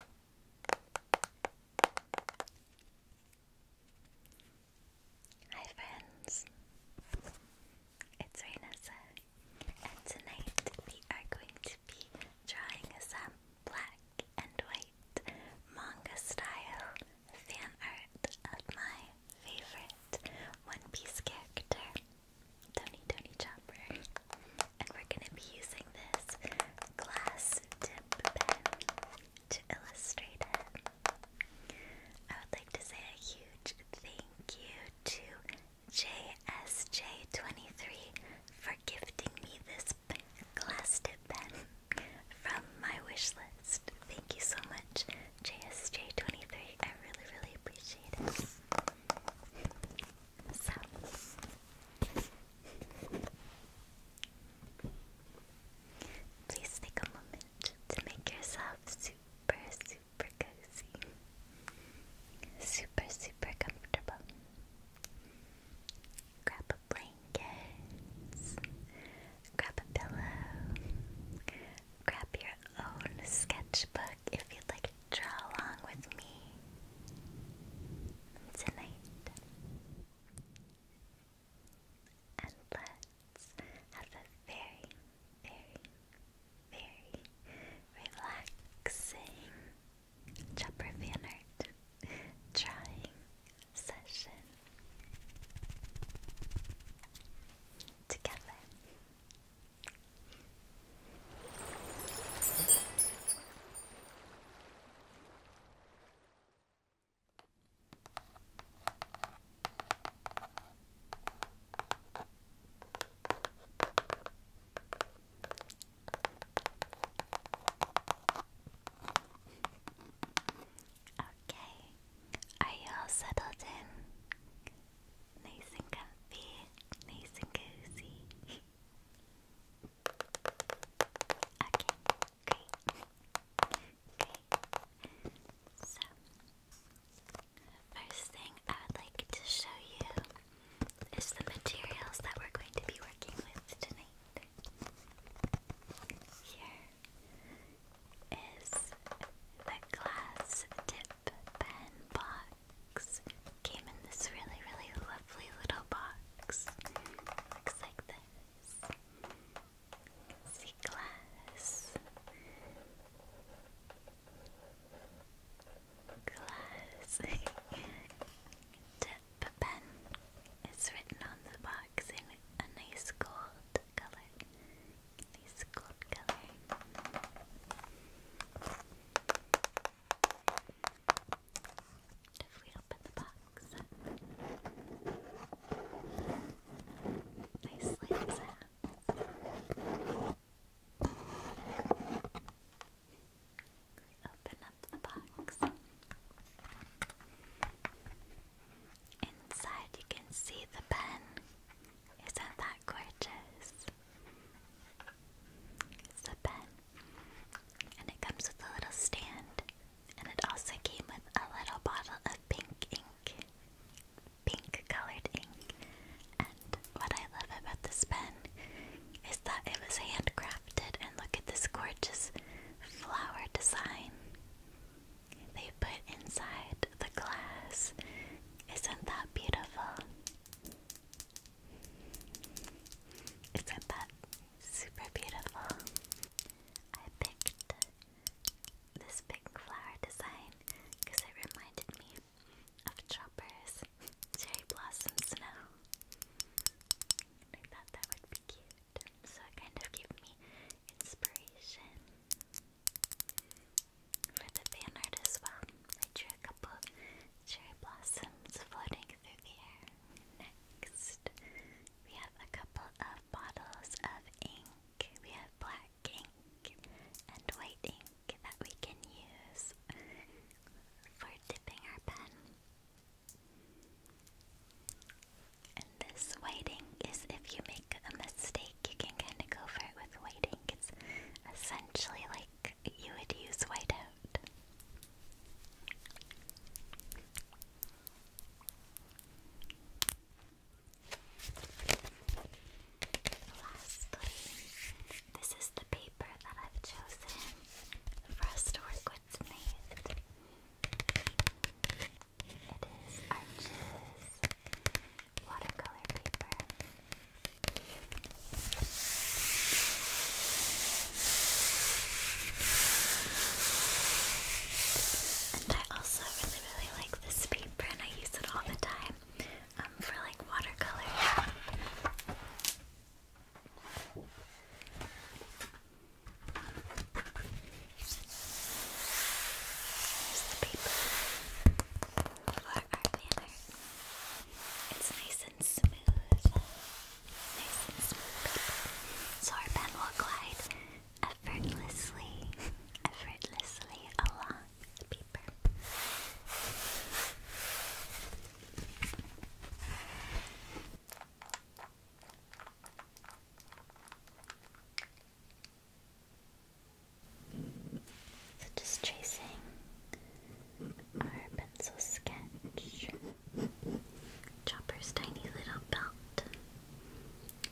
Hi friends, it's Rainessa, and tonight we are going to be drawing some black and white manga style fan art of my favorite One Piece character, Tony Tony Chopper. And we're going to be using this glass to illustrate it. I would like to say a huge thank you to JSJ23 for gifting me this glass tip pen from my wish list. Thank you so much, JSJ23. I really, really appreciate it. So please take a moment to make yourself super, super cozy, super, super comfortable. Grab a blanket, grab a pillow, grab your own sketchbook if you'd like to draw along with me tonight. And let's have a very, very, very relaxing Chopper fan session together. Okay, are you all settled in? Nice and comfy, nice and cozy. Okay, great. Great. So, first thing I would like to show you is the materials that we're going to be working with tonight. Here is the glass tip pen box. Came in this really, really lovely little box. Looks like this. See glass. Glass. Tip pen is written on the box in a nice gold color. Nice gold color. If we open the box Nicely We open up the box. Inside you can see the pen. Isn't that gorgeous? It's a pen and it comes with a little stand. And it also came with a little bottle of pink ink. Pink colored ink. And what I love about this pen is that it was handcrafted. And look at this gorgeous flower design they put inside the glass. Isn't that beautiful? Isn't that super beautiful? I picked this big flower design because it reminded me of Chopper's Cherry Blossom Snow. I thought that would be cute, so it kind of gave me inspiration for the fan as well. I drew a couple of cherry blossoms floating through the air. Next, we have a couple of bottles of ink. We have black ink and white ink that we can use for dipping our pen. And this white ink is if you make a mistake, you can kind of go for it with white ink. It's essentially like you would use whiteout? Lastly, this is the paper that I've chosen for us to work with tonight. It is Arches watercolor paper. And I also really, really like this paper and I use it all the time um, for like watercolor. paper for our banner. It's nice and smooth. Nice and smooth. So our pen will glide effortlessly, effortlessly along the paper. just tracing our pencil sketch. Chopper's tiny little belt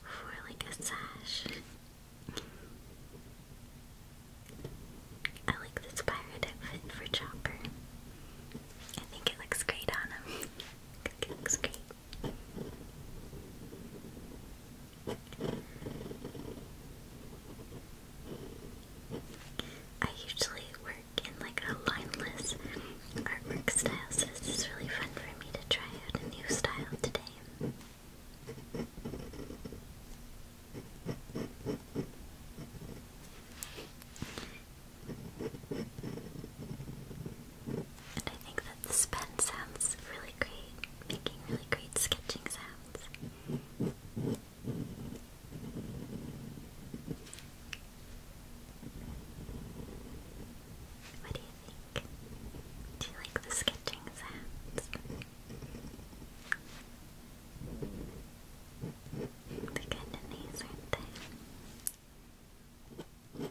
for like a sash. I like this pirate outfit for Chopper. I think it looks great on him. it looks great. I usually work in like a lineless artwork style, so this is really fun for me to try out a new style today. And I think that this pen sounds really great, making really great sketching sounds. What do you think? Do you like the sketching sounds? They're kinda nice, aren't they kind of nice are not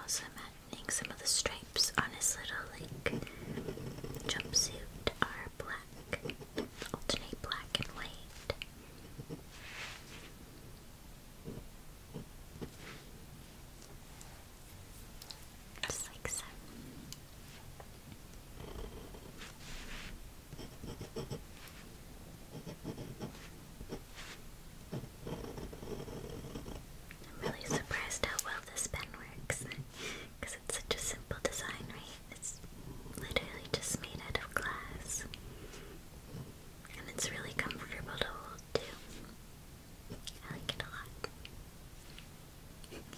also imagining some of the stripes on his little like jumpsuit are black, alternate black and white. Just like so. I'm really surprised how well this pen works because it's such a simple design, right? It's literally just made out of glass. And it's really comfortable to hold too. I like it a lot.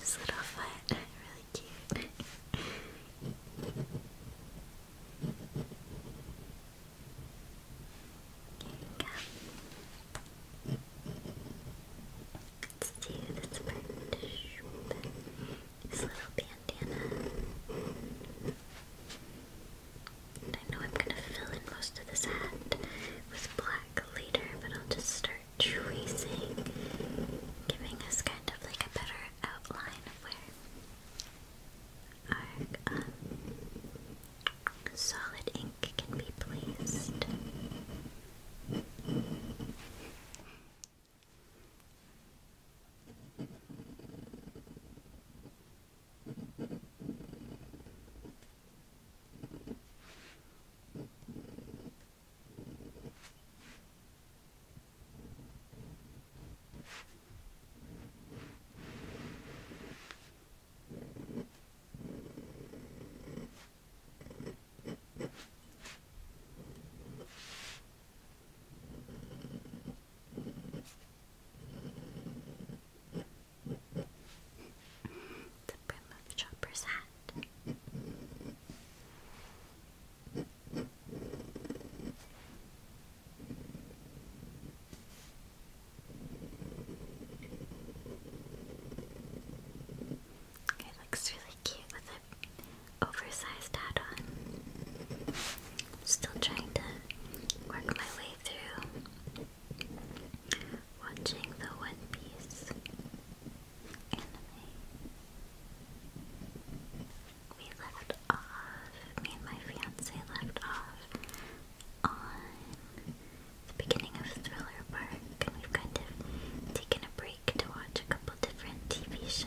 This little foot, really cute. There Let's do this This little bandana. I know I'm gonna fill in most of this hat with black later, but I'll just start tracing, giving us kind of like a better outline of where arc. Um, solid ink can be placed. The brim of Chopper's hat. It looks really cute with an oversized hat on. still trying to work my way through watching the One Piece anime. We left off, me and my fiance left off on the beginning of Thriller Park, and we've kind of taken a break to watch a couple different TV shows.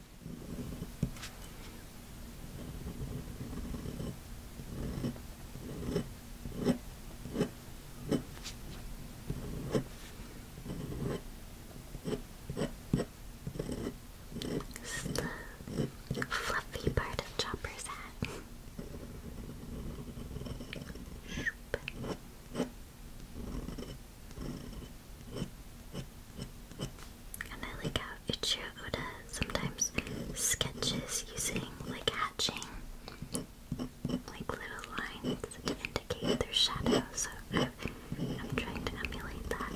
It's the fluffy part of Chopper's hat. Shoop. And I like how Uchiha sometimes sketches using like hatching, like little lines to indicate their shadows. So I'm, trying to emulate that a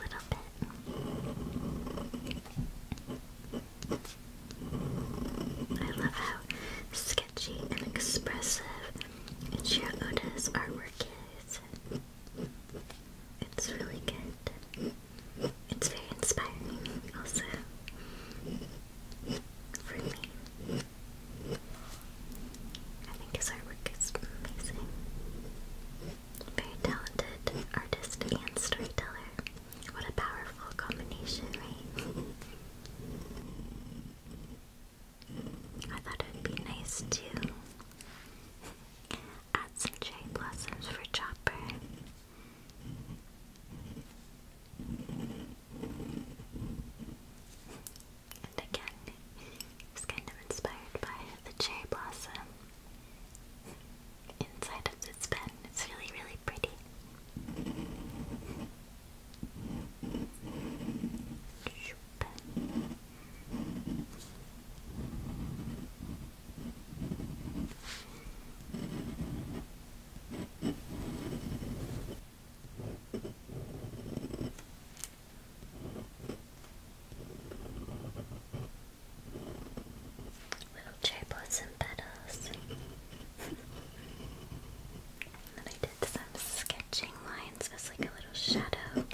little bit. I love how sketchy and expressive Uchiha Oda's artwork it's really good. It's very inspiring, also, for me. I think his artwork is amazing. Very talented artist and storyteller. What a powerful combination, right? I thought it would be nice to add some cherry blossoms for Chopper. And again, I kind of inspired by the cherry blossom inside of this pen. It's really, really pretty. Shoop. Little triplets and petals then I did some sketching lines as like a little shadow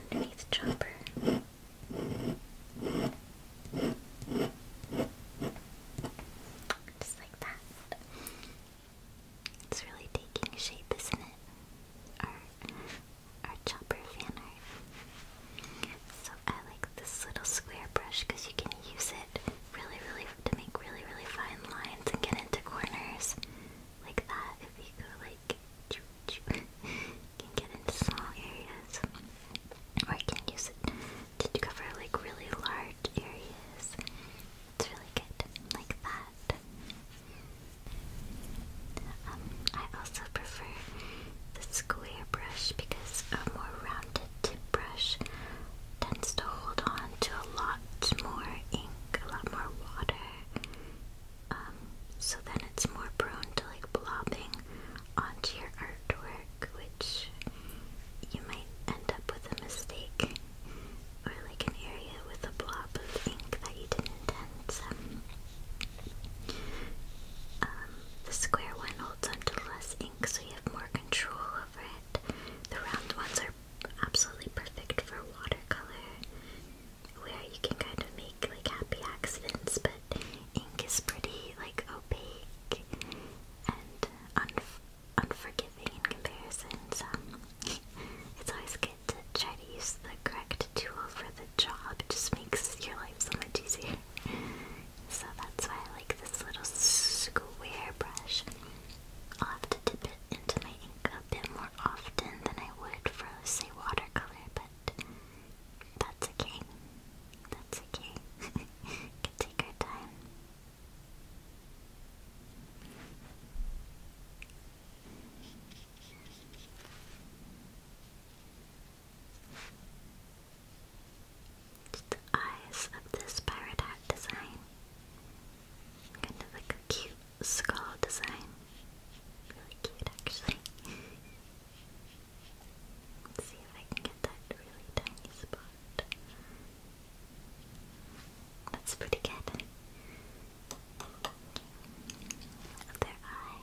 underneath Chopper. Just like that. It's really taking shape, isn't it? Our, our Chopper fan So I like this little square brush because you can use it really, really to make really, really fine lines and get into corners like that if you go like choo you can get into small areas. Or you can use it to cover like really large areas. It's really good. Like that. Um, I also prefer the square brush because a more rounded tip brush tends to hold on to a lot more ink, a lot more water. Um, so then it's more prone to like blobbing onto your artwork, which you might end up with a mistake or like an area with a blob of ink that you didn't intend. Um, the square one holds onto less ink, so you have more control over it. The round ones are absolutely perfect for watercolor where you can kind of make like happy accidents, but ink is pretty like opaque and unforgiving in comparison, so it's always good to try to use the correct tool for the job. It just makes your life so much easier. So that's why I like this little square brush. I'll have to dip it into my ink bit more often than I would for, say, watercolor, but that's okay. That's okay. take our time. the eyes of this pirate hat design. Kind of like a cute skull design. Really cute, actually. see if I can get that really tiny spot. That's pretty good. Their eye.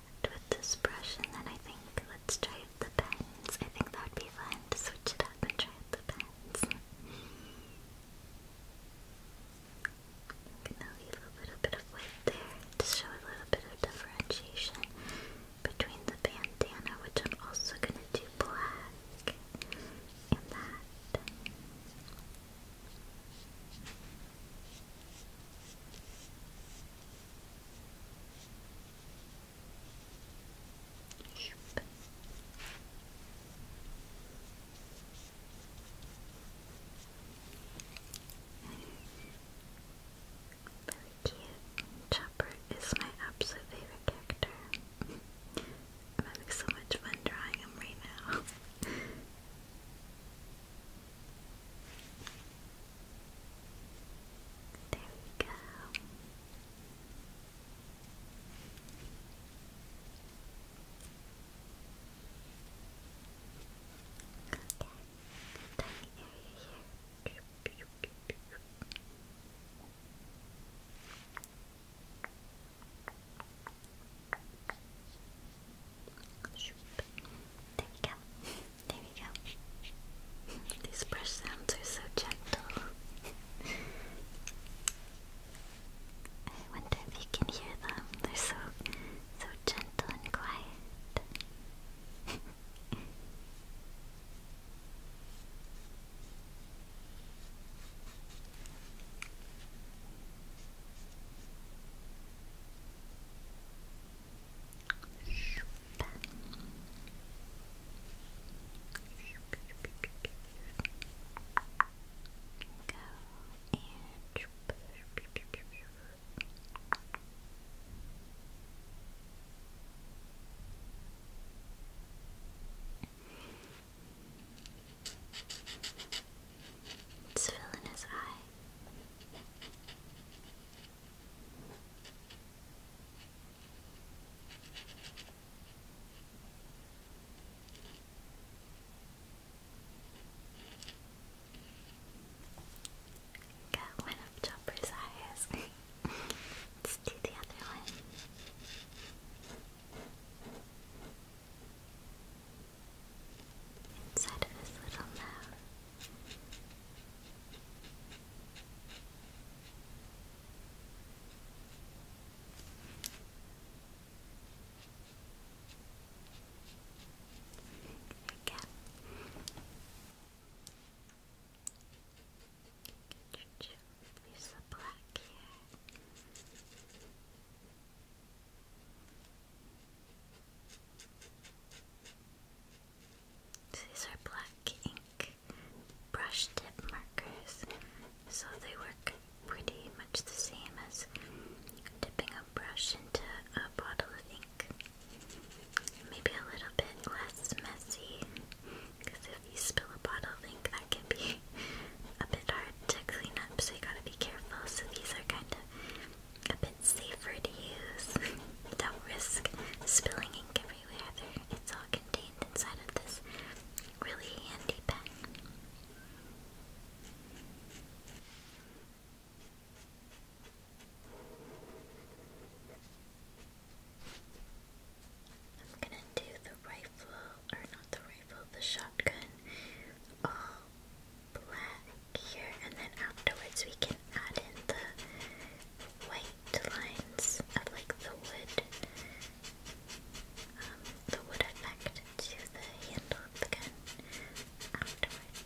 with this brush, and then I think let's try the pens. I think that would be fun to switch it up and try out the pens. I'm gonna leave a little bit of white there to show a little bit of differentiation between the bandana, which I'm also gonna do black, and that. Chopper is my absolute favorite character. I'm having so much fun drawing him right now. There we go. Okay, tiny area here. There we go. There we go. These brush sounds are so gentle. I wonder if you can hear them. They're so so gentle and quiet. It's filling his eye. Got one of Chopper's eyes. Let's do the other one inside of this little mouth. There we go. There's the black here. These are black ink brush tip markers, so they work pretty much the same as dipping a brush into a bottle of ink. Maybe a little bit less messy, because if you spill a bottle of ink, that can be a bit hard to clean up, so you gotta be careful. So these are kind of a bit safer to use. do risk spilling ink everywhere. it's all contained inside of this really handy pen. I'm gonna do the rifle, or not the rifle, the shotgun, oh, black here, and then afterwards we can add in the white lines of like the wood, um, the wood effect to the handle of afterwards. that'll be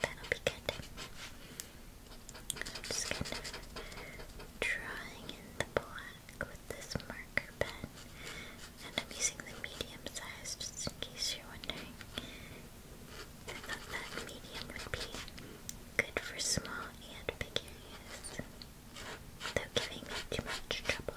good. I'm just kind of drawing in the black with this marker pen. And I'm using the medium size just in case you're wondering. I thought that medium would be good for small and big areas without giving me too much trouble.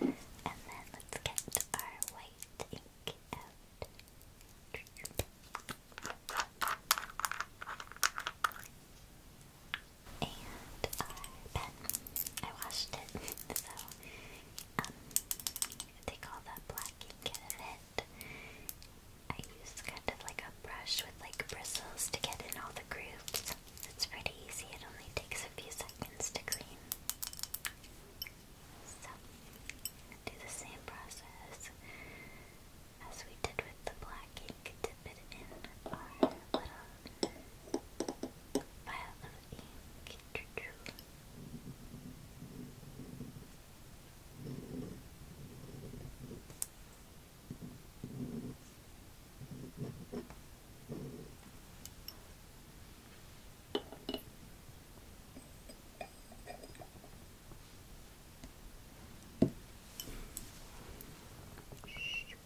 And then let's get our white ink out. And our I washed it, so um, take all that black ink out of it. I use kind of like a brush with like bristles to get in all the grooves. It's pretty easy, it only takes a few seconds to clean. So, do the same process as we did with the black ink. Dip it in our little vial of ink.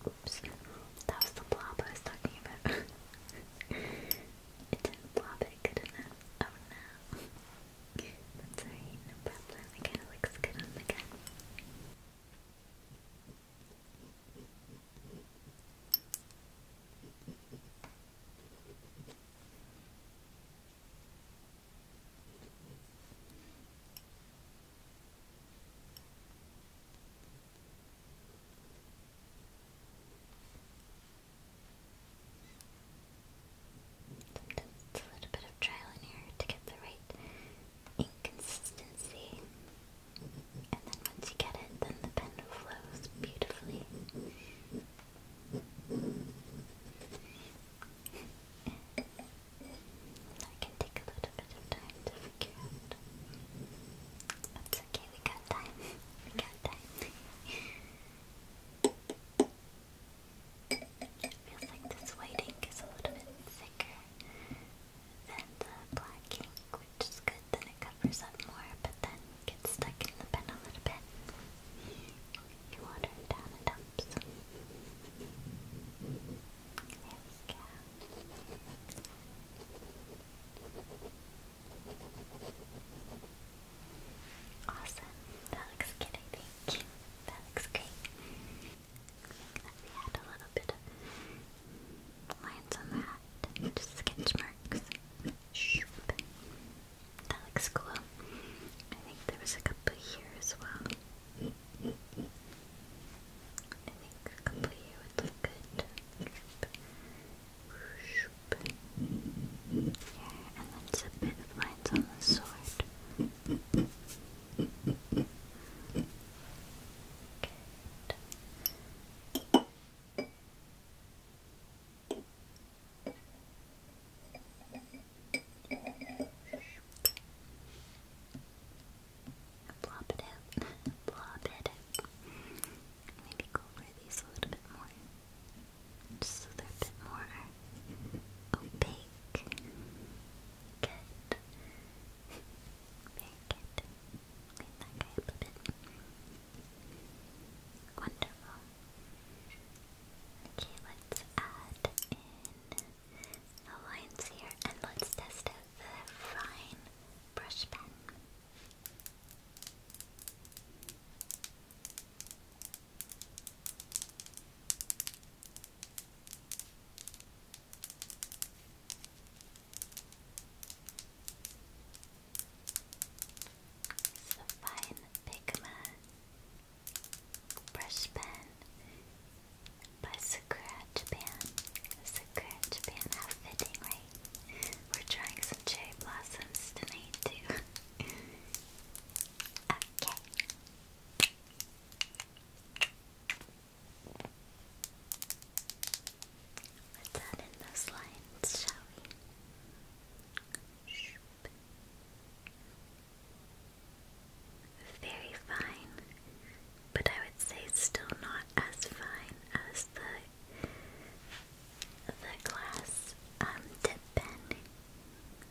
Oops, that was the blob I was talking about. it didn't blob it, could it? Oh no. That's alright, no problem. It kind of looks good on the gun. Sometimes a little bit of trial and error to get the right ink consistency. And then once you get it, then the pen flows beautifully. that can take a little bit of time to figure out. That's okay, we got time. We got time. Feels like this white ink is a little bit thicker than the black ink, which is good, then it covers up more, but then gets stuck in the pen a little bit. You water it down and dumps. There we go. Awesome. That looks good, I think. That looks great. We had a little bit of lines on the hat, just sketch marks. That looks cool. I think there was a couple here as well. I think a couple here would look good. Yeah, and then a bit of lines on the sword. Good. Plop it out. Plop it Maybe go over a little bit more. Just so they're a bit more opaque week. Good. Very Wonderful. Okay, let's add in the lines here and let's test out the fine brush pen fine Pigma brush pen by Scratch Pan. Scratch Pan, right? We're trying some cherry blossoms tonight, too. okay. Put that in those lines, shall we? Very fine, but I would say still not as fine as the the glass um, dip pen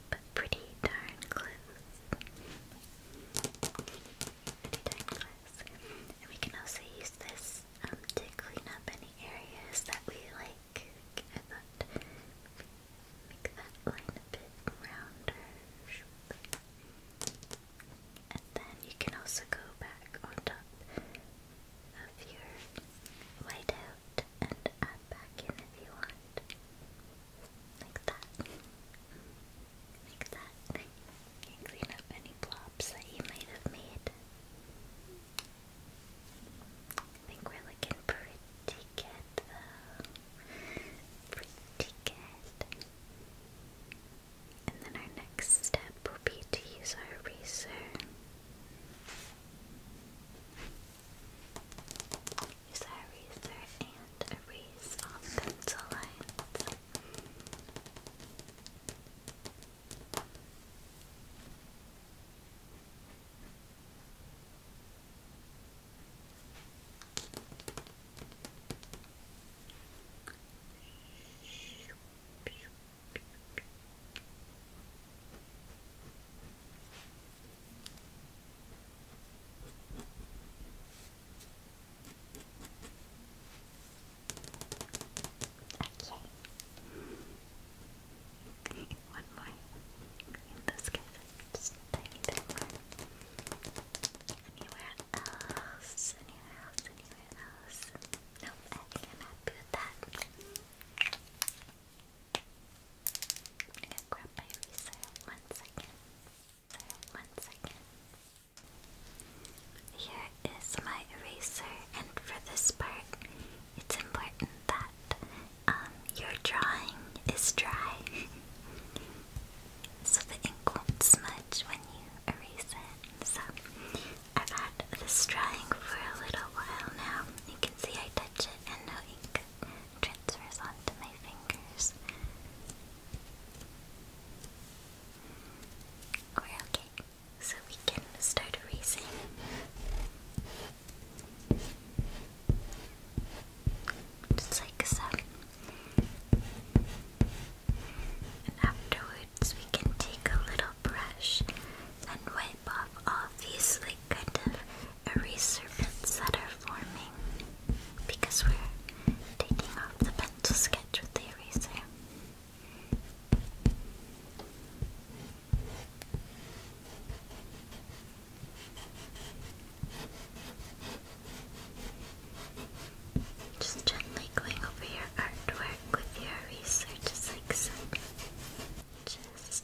but pretty darn close. Pretty darn close. And we can also use this um, to clean up any areas that we like. make that line a bit rounder. And then you can also go back on top of your whiteout and add back in if you want. Like that. Like that. clean up any blobs that you might have made. I think we're looking pretty good though. Pretty good. And then our next step will be to use our eraser. Use our eraser and erase all pencil lines. Okay, one more in this case, just tiny bit more anywhere else, anywhere else, anywhere else nope, I think I'm happy with that I'm gonna grab my eraser one second. one second. Here is my eraser, and for this part, it's important that um, your drawing is dry, so the ink won't smudge when you erase it. So I've had this drying for a little while now. You can see I touch it and no ink transfers onto my fingers. okay, so we can start erasing. Just like so. And afterwards, we can take a little brush and wipe off all these kind of eraser serpents that are forming because we're taking off the pencil sketch with the eraser. Just gently going over your artwork with your eraser, just like so. Just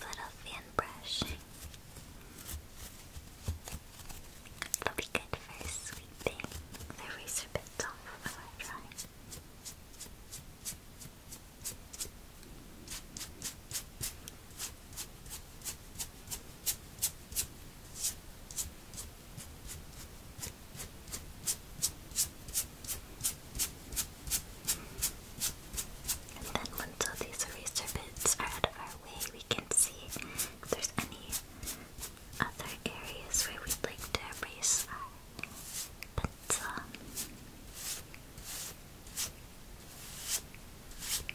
Little fan brushing. It'll be good for sweeping the razor bits off of our and then once these eraser bits are out of our way, we can see if there's any other areas where we'd like to erase our pencil. That's looking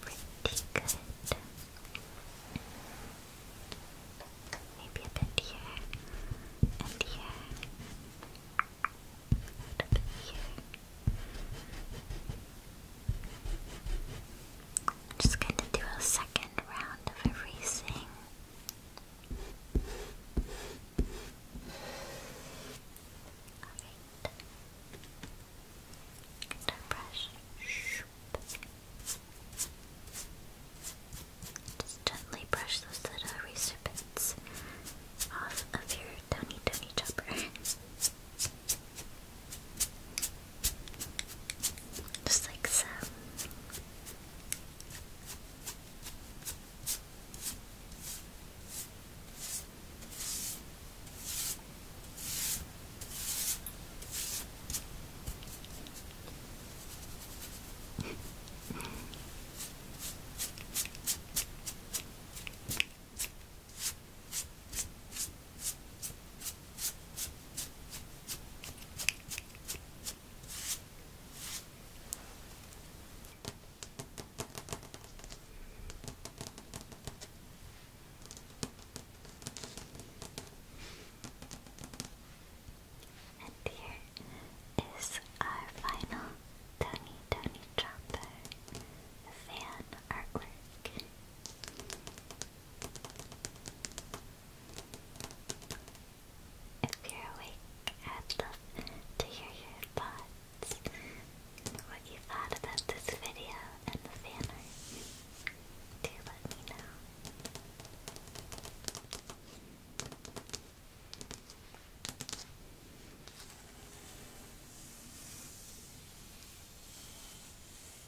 pretty good. Maybe a bit here and here. A here. I'm just going to do a second round of erasing. Alright. Get Just gently brush those little eraser bits off of your tiny, tiny chopper. Just like so. And here is our final Tony Tony Chopper fan artwork. If you're awake, i to hear your thoughts, what you thought about this video and the fan art. Do let me know.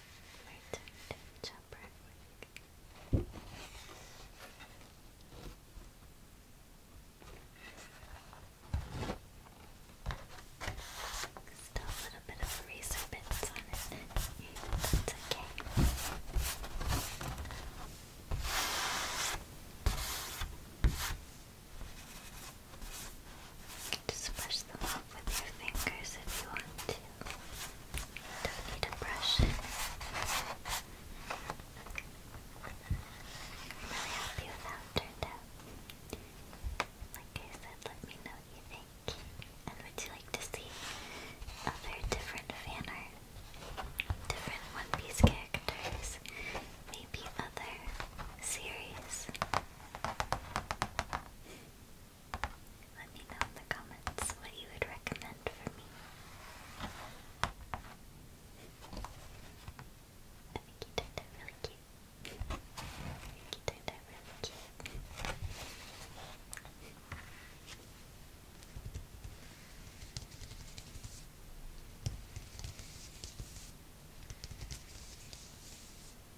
Return to the jump right a little bit of razor bits on it. That's okay. You just brush them off with your fingers if you want to. Don't need a brush. really happy with how it turned out. Like I said, let me know you think. And would you like to see other different fan art? Different One Piece characters? Maybe other series? Let me know in the comments what you would recommend for me. I think you turned really cute. I think really cute.